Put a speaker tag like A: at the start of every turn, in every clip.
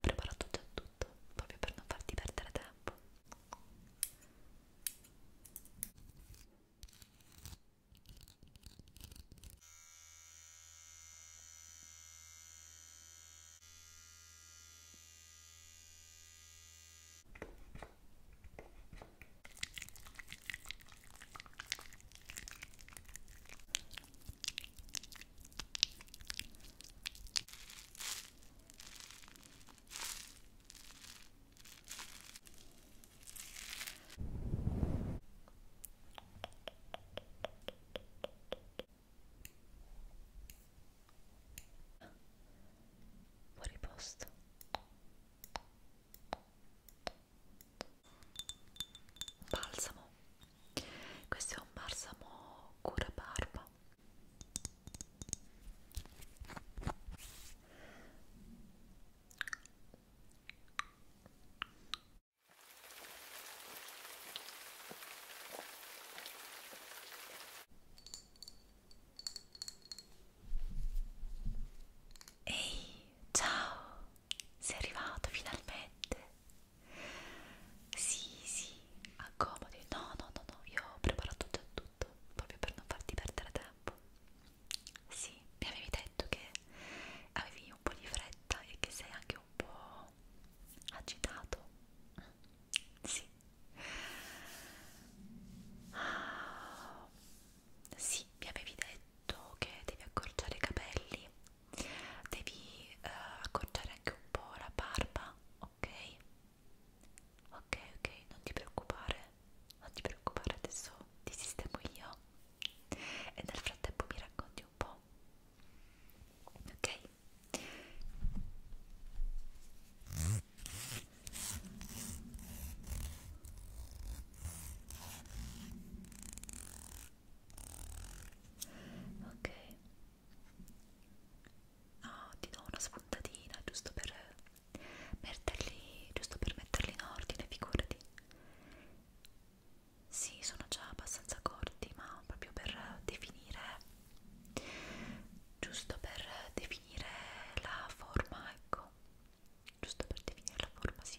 A: preparato già tutto proprio per non farti perdere tempo Fuori posto. Balsamo questo è un balsamo cura barba Ehi, ciao! Sei arrivato finalmente! Sì, sì, accomodi. No, no, no, no, io ho preparato già tutto, proprio per non farti perdere tempo. Sì, mi avevi detto che avevi un po' di fretta e che sei anche un po' agitato. Sì. Ah, sì, mi avevi detto che devi accorciare i capelli devi eh, accorciare anche un po' la barba, ok? Ok, ok, non ti preoccupare, non ti preoccupare, adesso ti sistemo io e nel frattempo mi racconti un po', ok? Ok, Oh, ti do una spuntatina giusto per metterli, giusto per metterli in ordine, figurati. Sì, sono già abbastanza corti, ma proprio per definire, giusto per definire la forma, ecco, giusto per definire la forma, sì.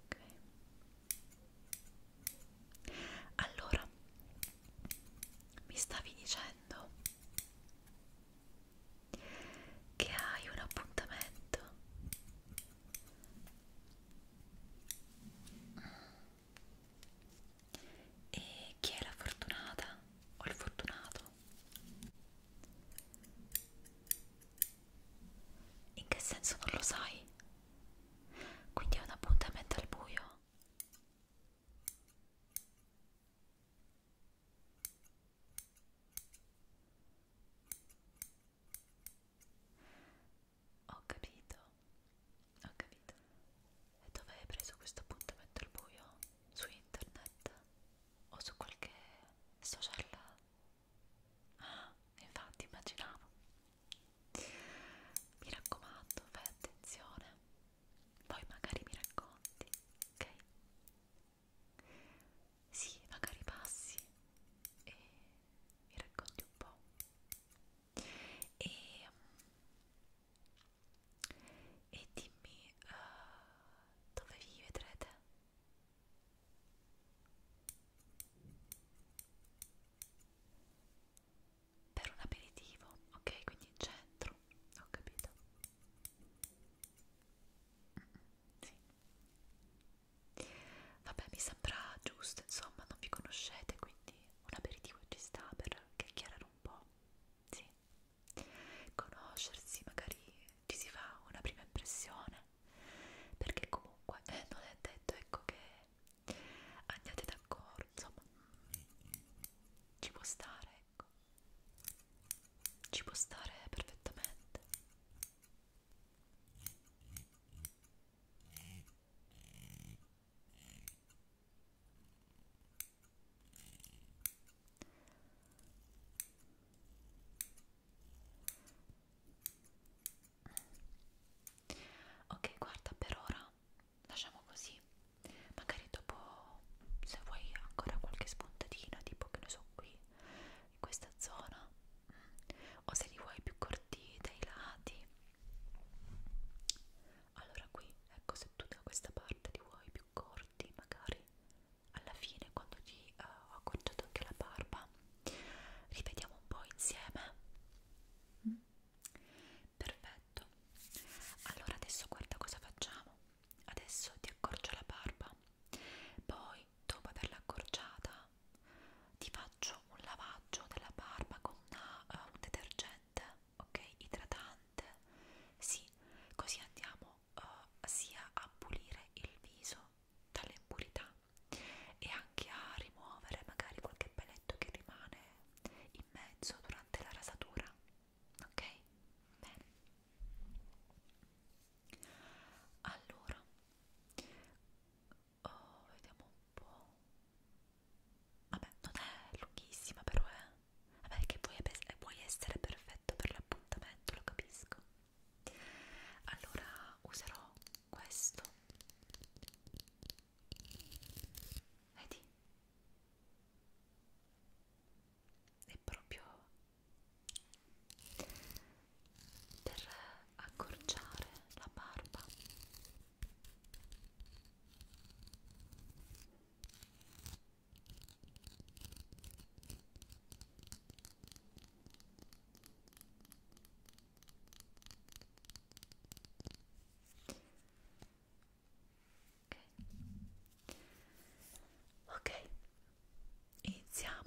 A: ok allora mi stavi dicendo che hai un appuntamento e chi è la fortunata o il fortunato in che senso non lo sai? Quindi è un appuntamento al buio? Ho capito, ho capito. E dove hai preso questo appuntamento al buio? Su internet o su qualche social Ah, infatti immaginavo. Mi raccomando, fai attenzione. Poi magari mi racconti, ok? Sì, magari passi e mi racconti un po'. E, mm, e dimmi uh, dove vi vedrete per un aperitivo, ok? Quindi in centro, ho capito. Mm -mm, sì. Vabbè, mi sembra giusto, insomma, non vi conoscete, quindi un aperitivo ci sta per chiacchierare un po', sì. Conoscersi, magari ci si fa una prima impressione perché comunque eh, non è detto ecco che andate d'accordo insomma ci può stare ecco ci può stare perfettamente Ok, guarda, per ora lasciamo così. Magari dopo, se vuoi ancora qualche spuntatina, tipo che ne so qui, in questa zona, o se li vuoi più corti dai lati. Allora qui, ecco, se tu da questa parte li vuoi più corti, magari alla fine quando ti uh, eh, ho accorciato anche la barba rivediamo un po' insieme mm. perfetto allora adesso guarda cosa facciamo adesso ti accorcio la barba poi dopo averla accorciata ti faccio un lavaggio della barba con una, uh, eh, un detergente ok idratante sì così andiamo uh, sia a pulire il viso dalle impurità e anche a rimuovere magari qualche peletto che rimane in mezzo durante la rasatura ok? bene allora oh, vediamo un po' vabbè non è lunghissima però eh vabbè che puoi essere perfetto per l'appuntamento lo capisco allora userò questo vedi è proprio per accorciare la barba Ok, okay. iniziamo.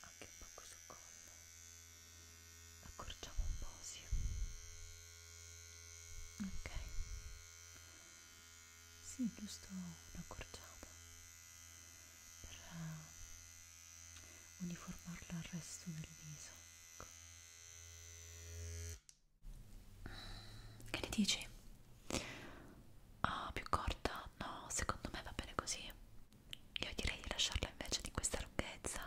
A: anche un poco sul collo accorciamo un po' sì ok sì giusto un'accorciata per uh, eh, uniformarla al resto del viso che ne dici? Ah, più corta? No, secondo me va bene così. Io direi di lasciarla invece di questa lunghezza.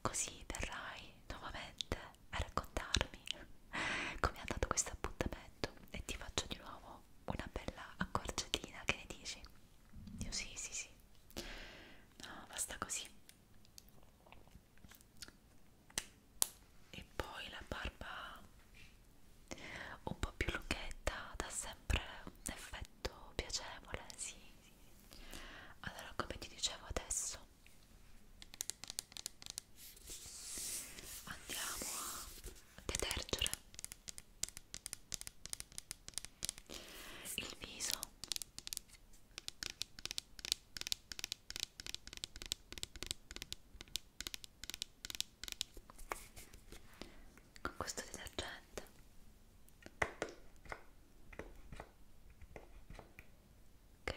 A: Così verrai nuovamente a raccontarmi com'è andato questo appuntamento e ti faccio di nuovo una bella accorciatina. Che ne dici? Io sì, sì, sì no, basta così e poi la barba un po' più lunghetta dà sempre un effetto piacevole sì, sì. allora come ti dicevo adesso andiamo a detergere il viso con questo detergente ok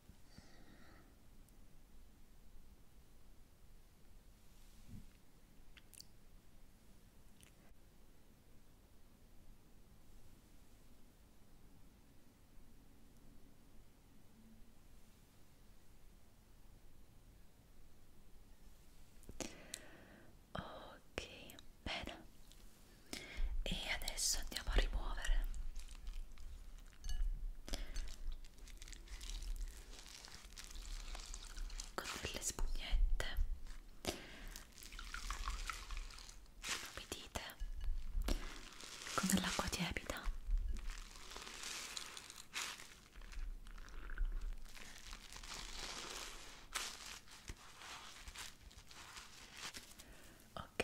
A: Ok, bene, e adesso andiamo a rimuovere con delle spugnette inumidite con dell'acqua tiepida ok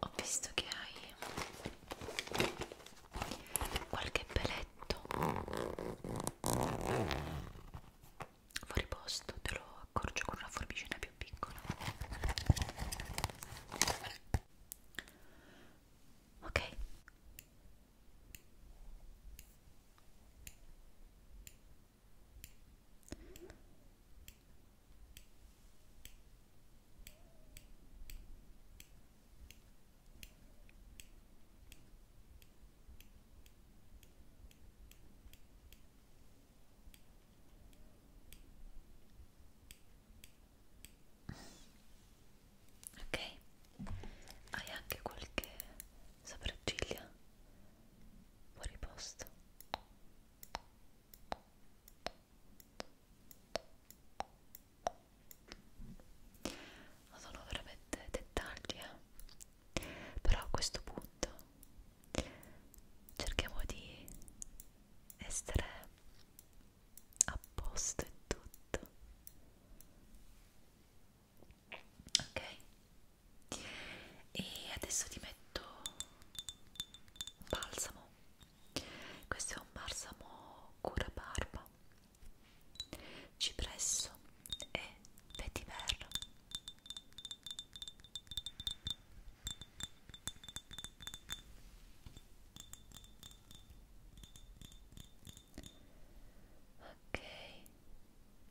A: Ho visto che hai qualche peletto fuori posto, te lo accorcio con una forbicina più piccola. Ok. Ok, hai anche qualche sopracciglia fuori posto ma sono veramente dettagli eh? però a questo punto cerchiamo di essere a posto in tutto ok e adesso ti metto un balsamo questo è un balsamo cura barba cipresso e vetiver ok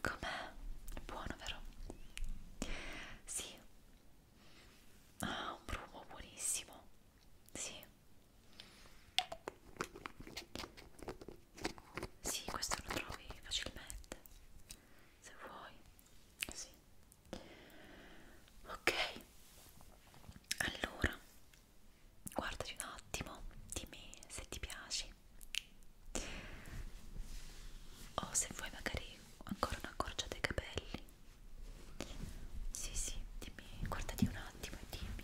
A: Com'è? Buono, vero? Sì. Ah, un profumo buonissimo. Sì. Sì, questo lo trovi facilmente. Se vuoi. Sì. Ok. Allora guardati un attimo, dimmi se ti piaci o se vuoi magari ancora una corcia dei capelli sì sì, dimmi, guardati un attimo e dimmi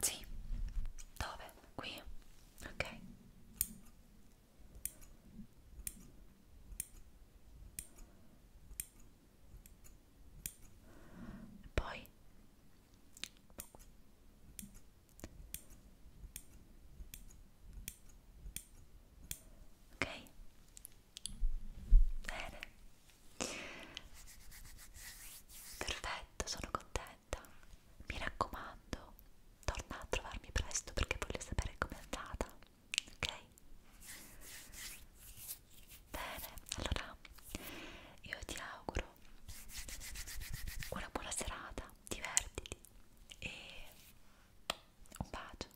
A: sì. Dove? Qui? Ok. Poi Ok. Bene. Perfetto, sono contenta diretta. Mi raccomando, torna a trovarmi presto perché voglio sapere com'è andata. Ok? Bene, allora io ti auguro una buona serata, divertiti e un bacio.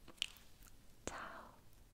A: Ciao!